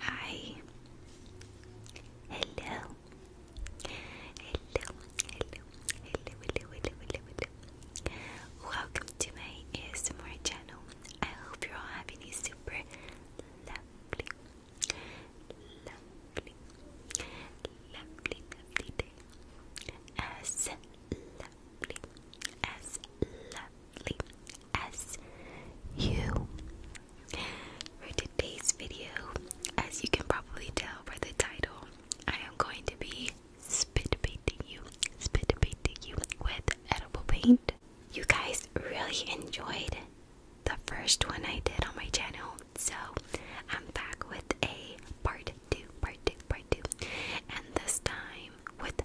Hi. Hello. Hello. Hello. Hello. Hello. Hello. Welcome to my ASMR channel. I hope you all having a super lovely, lovely, lovely, lovely day. As lovely, as lovely as you. For today's video, as you can probably tell by the title, I am going to be spit painting you, spit painting you with edible paint. You guys really enjoyed the first one I did on my channel, so I'm back with a part two, part two, part two, and this time with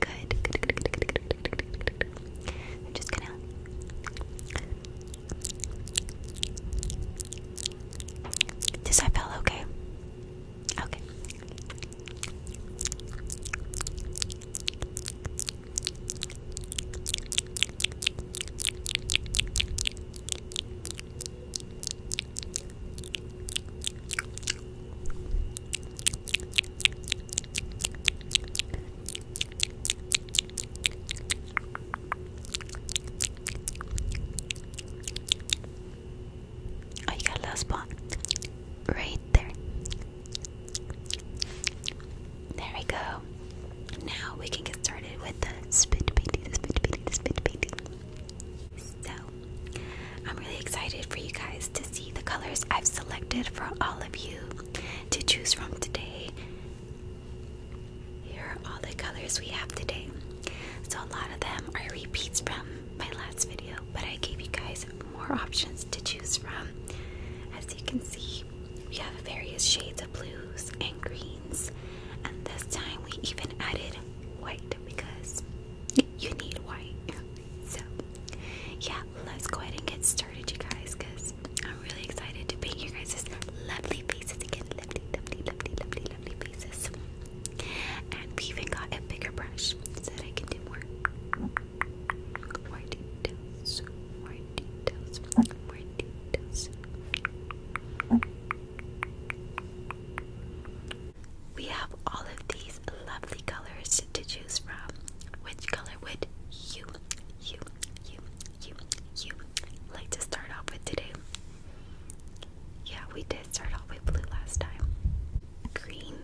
Good, I'm just gonna. Does that feel okay? Okay. Oh, you got a little spot right there. There we go. Now we can get started with the spit painting, the spit painting, the spit painting. So I'm really excited for you guys to see the colors I've selected for all of you to choose from today. Here are all the colors we have today. So a lot of them are repeats from my last video, but I gave you guys more options to choose from. As you can see, we have various shades of blues and greens, and this time we even added white because you need white. So, yeah, let's go ahead and get started, you guys, because I'm really excited to paint your guys' lovely faces again. Lovely, lovely, lovely, lovely, lovely faces. And we even got a bigger brush so that I can do more. More details. More details. More details. We have all of these lovely colors to choose from. Which color would you, you, you, you, you like to start off with today? Yeah, we did start off with blue last time. Green.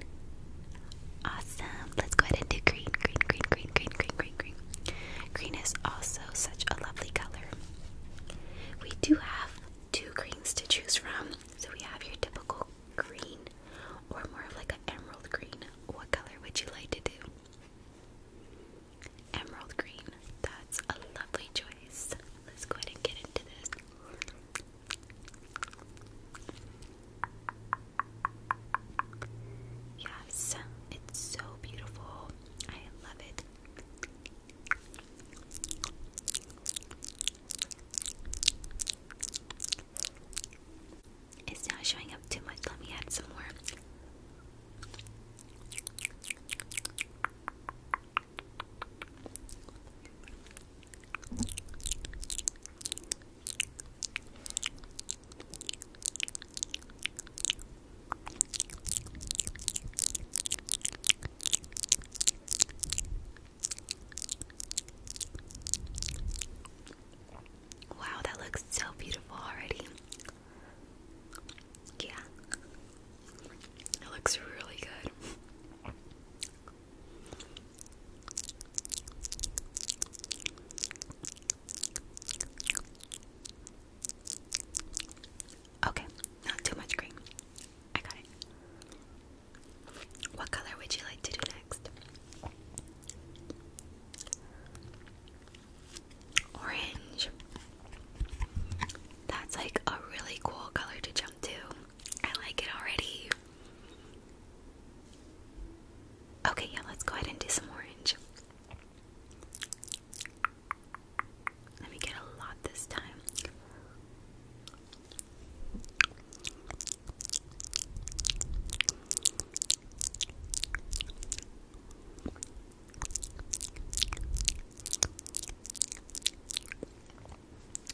Awesome. Let's go ahead and do green, green, green, green, green, green, green, green. Green is also such a lovely color. We do have two greens to choose from. So we have your typical green or more of like an emerald green? What color would you like to do? Emerald green. That's a lovely choice. Let's go ahead and get into this. Yes, it's so beautiful. I love it. It's not showing up too much. Let me add some more. Wow, that looks so beautiful already. Yeah. It looks really good. Okay, not too much cream. I got it. What color would you like to do next? Orange. That's like a really cool color to jump to. I like it already. Okay, yeah, let's go ahead and do some orange. Let me get a lot this time.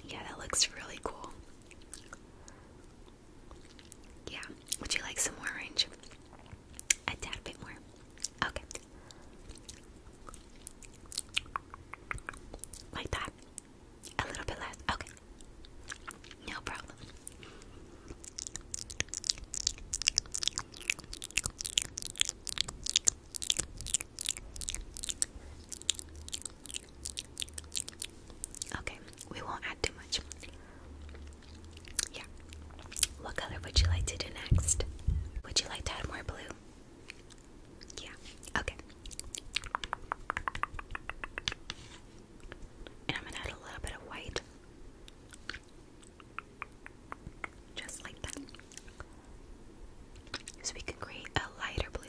Yeah, that looks really cool. Yeah, would you like some more orange? A tad bit more. Okay. Like that. A little bit less. Okay. No problem. Okay, we won't add too much. Yeah. What color would you like to do next? Would you like to add more blue? Yeah, okay. And I'm gonna add a little bit of white. Just like that. So we can create a lighter blue.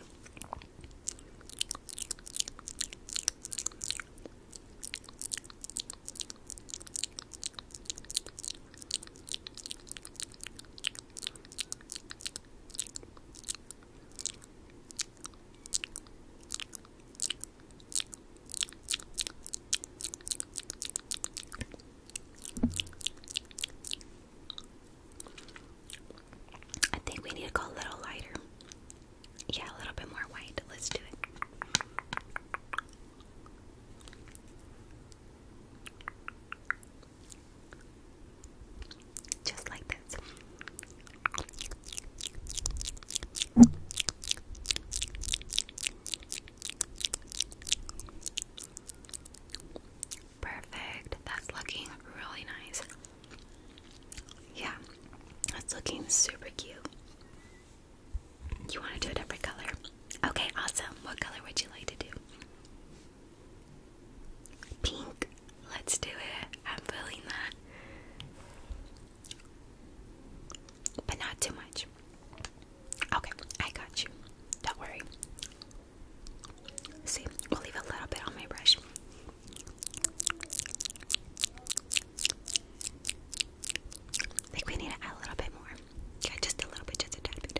I think we need to go a little lighter. Yeah, a little bit more white. Let's do it. Just like this. Perfect. That's looking really nice. Yeah, that's looking super cute. You want to do a different color? Okay, awesome. What color would you like to do? Pink. Let's do it. I'm feeling that. But not too much. Okay, I got you. Don't worry. See, we'll leave a little bit on my brush. think we need a little bit more. Yeah, just a little bit, just a tad bit.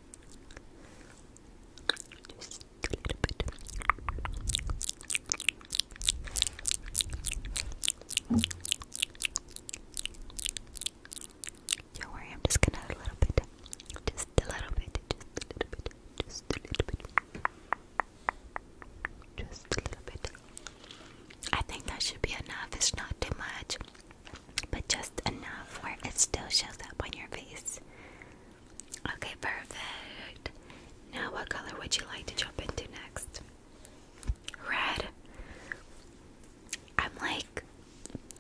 Don't worry, I'm just gonna a little bit. Just a little bit. Just a little bit. Just a little bit. Just a little bit. I think that should be enough. It's not too much but just enough where it still shows up on your face. Okay, perfect. Now, what color would you like to jump into next? Red. I'm like,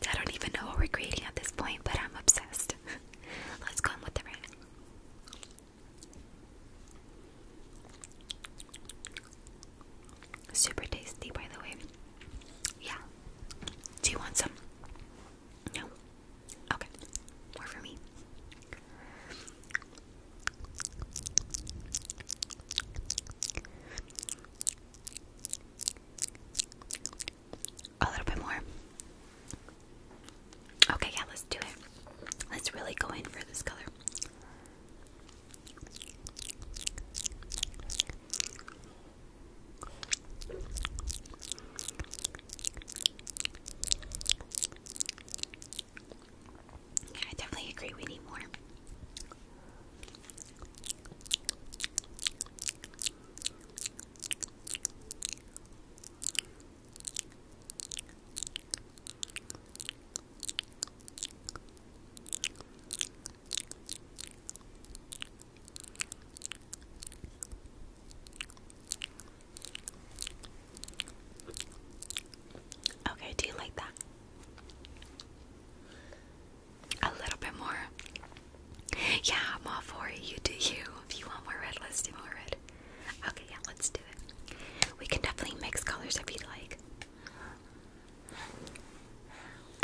I don't even know what we're creating at this point, but I'm obsessed. Let's go in with the red. Super tasty, by the way. Yeah, do you want some? No? Okay. More for me. A little bit more. Okay, yeah, let's do it. Let's really go in for this color. I definitely agree we need more. Okay, do you like that? A little bit more. Yeah, I'm all for You do you. If you want more red, let's do more red. Okay, yeah, let's do it. We can definitely mix colors if you'd like.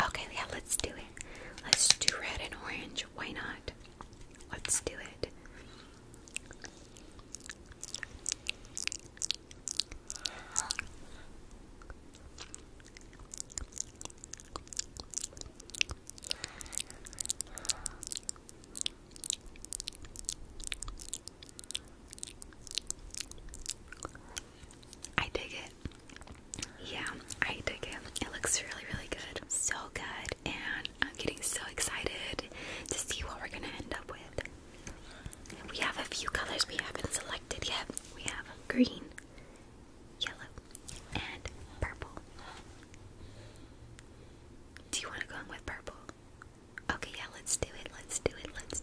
Okay, yeah, let's do it. Let's do red and orange. Why not? Let's do it. I dig it. Yeah, I dig it. It looks really, really good. So good. And I'm getting so excited to see what we're going to end up with. We have a few colors we haven't selected yet. We have green, yellow, and purple. Do you want to go in with purple? Okay, yeah, let's do it. Let's do it. Let's.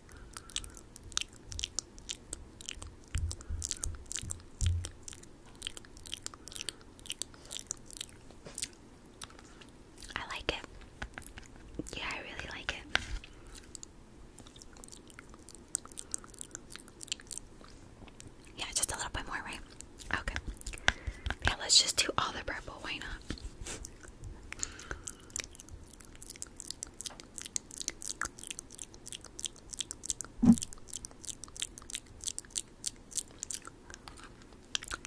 I like it. Yeah, I really like it. Yeah, just a little bit more, right? Okay. Yeah, let's just do all the purple. Why not?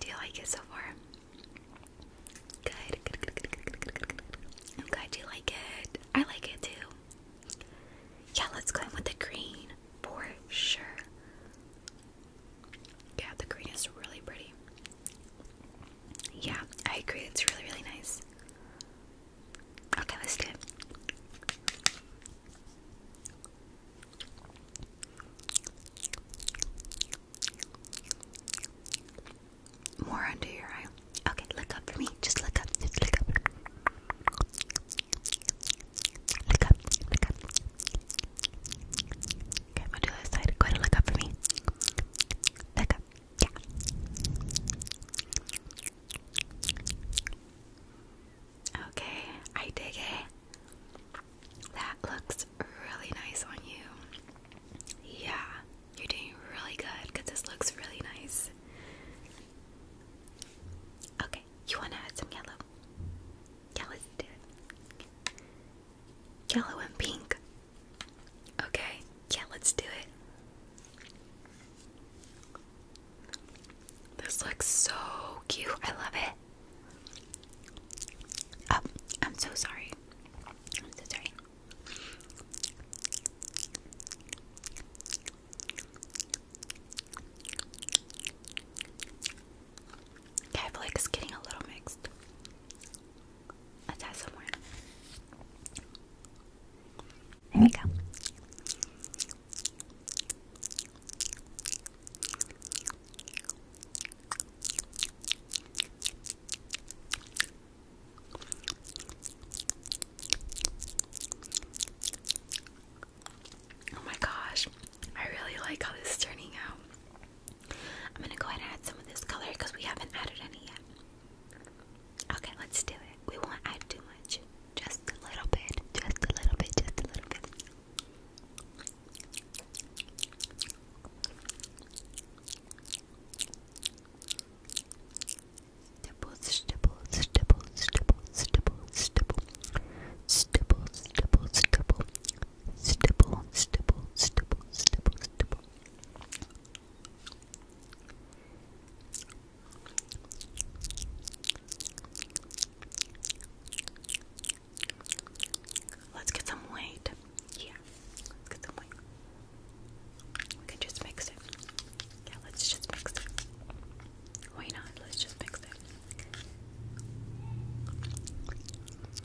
Do you like it so far? Good, good, good, good, good, good, good, good. I'm glad you like it. I like it too. Yeah, let's go in with the green for sure. Yeah, the green is really pretty. Yeah, I agree. It's really, really nice. Okay, let's do More under your eye. Okay, look up for me. Just look up. Just look up. Look up. Look up. Okay, I'm do the other side. Go ahead and look up for me. Look up. Okay, I dig it. That looks really nice on you. Yeah, you're doing really good because this looks really nice. Okay, you want to add some yellow? Yeah, let's do it. Yellow and pink. Okay, yeah, let's do it. This looks so cute. I love it. Oh, I'm so sorry. so sorry. Okay, I feel like it's getting a little mixed. Let's add some more. There we go. Oh my gosh, I really like how this is turning out. I'm gonna go ahead and add some of this color because we haven't added any yet. Okay, let's do it. We won't add too much. Just a little bit. Just a little bit. Just a little bit. Stipple, stipple, stipple, stipple, stipple, stipple, stipple, stipple, stipple, stipple, stipple, stipple, stipple, stipple. Let's get some weight. Yeah, let's get some weight. We can just mix it. Yeah, let's just mix it. Why not? Let's just mix it.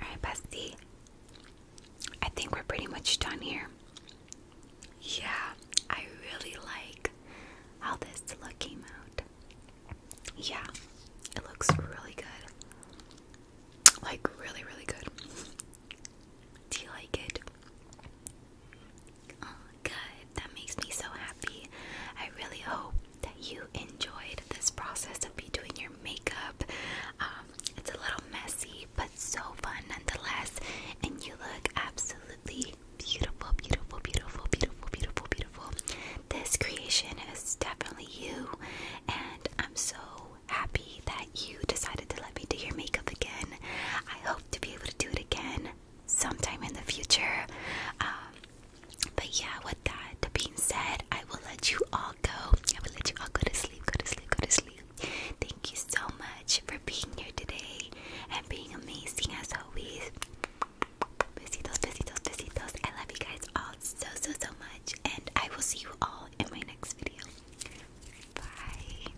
Alright, bestie. I think we're pretty much done here. Yeah, I really like how this look came out. Yeah, it looks really good. Like, really, really good. Do you like it? Oh, good. That makes me so happy. I really hope that you enjoyed this process of me doing your makeup. Um, it's a little messy, but so fun nonetheless. And you look absolutely beautiful, beautiful, beautiful, beautiful, beautiful, beautiful. This creation is definitely you, and I'm so happy that you decided to let me do your makeup again. I hope to be able to do it again sometime in the future. Um, but yeah, with that being said, I will let you all go. I will let you all go to sleep, go to sleep, go to sleep. Thank you so much for being here today and being amazing as always. Besitos, besitos, besitos. I love you guys all so, so, so much. And I will see you all in my next video. Bye.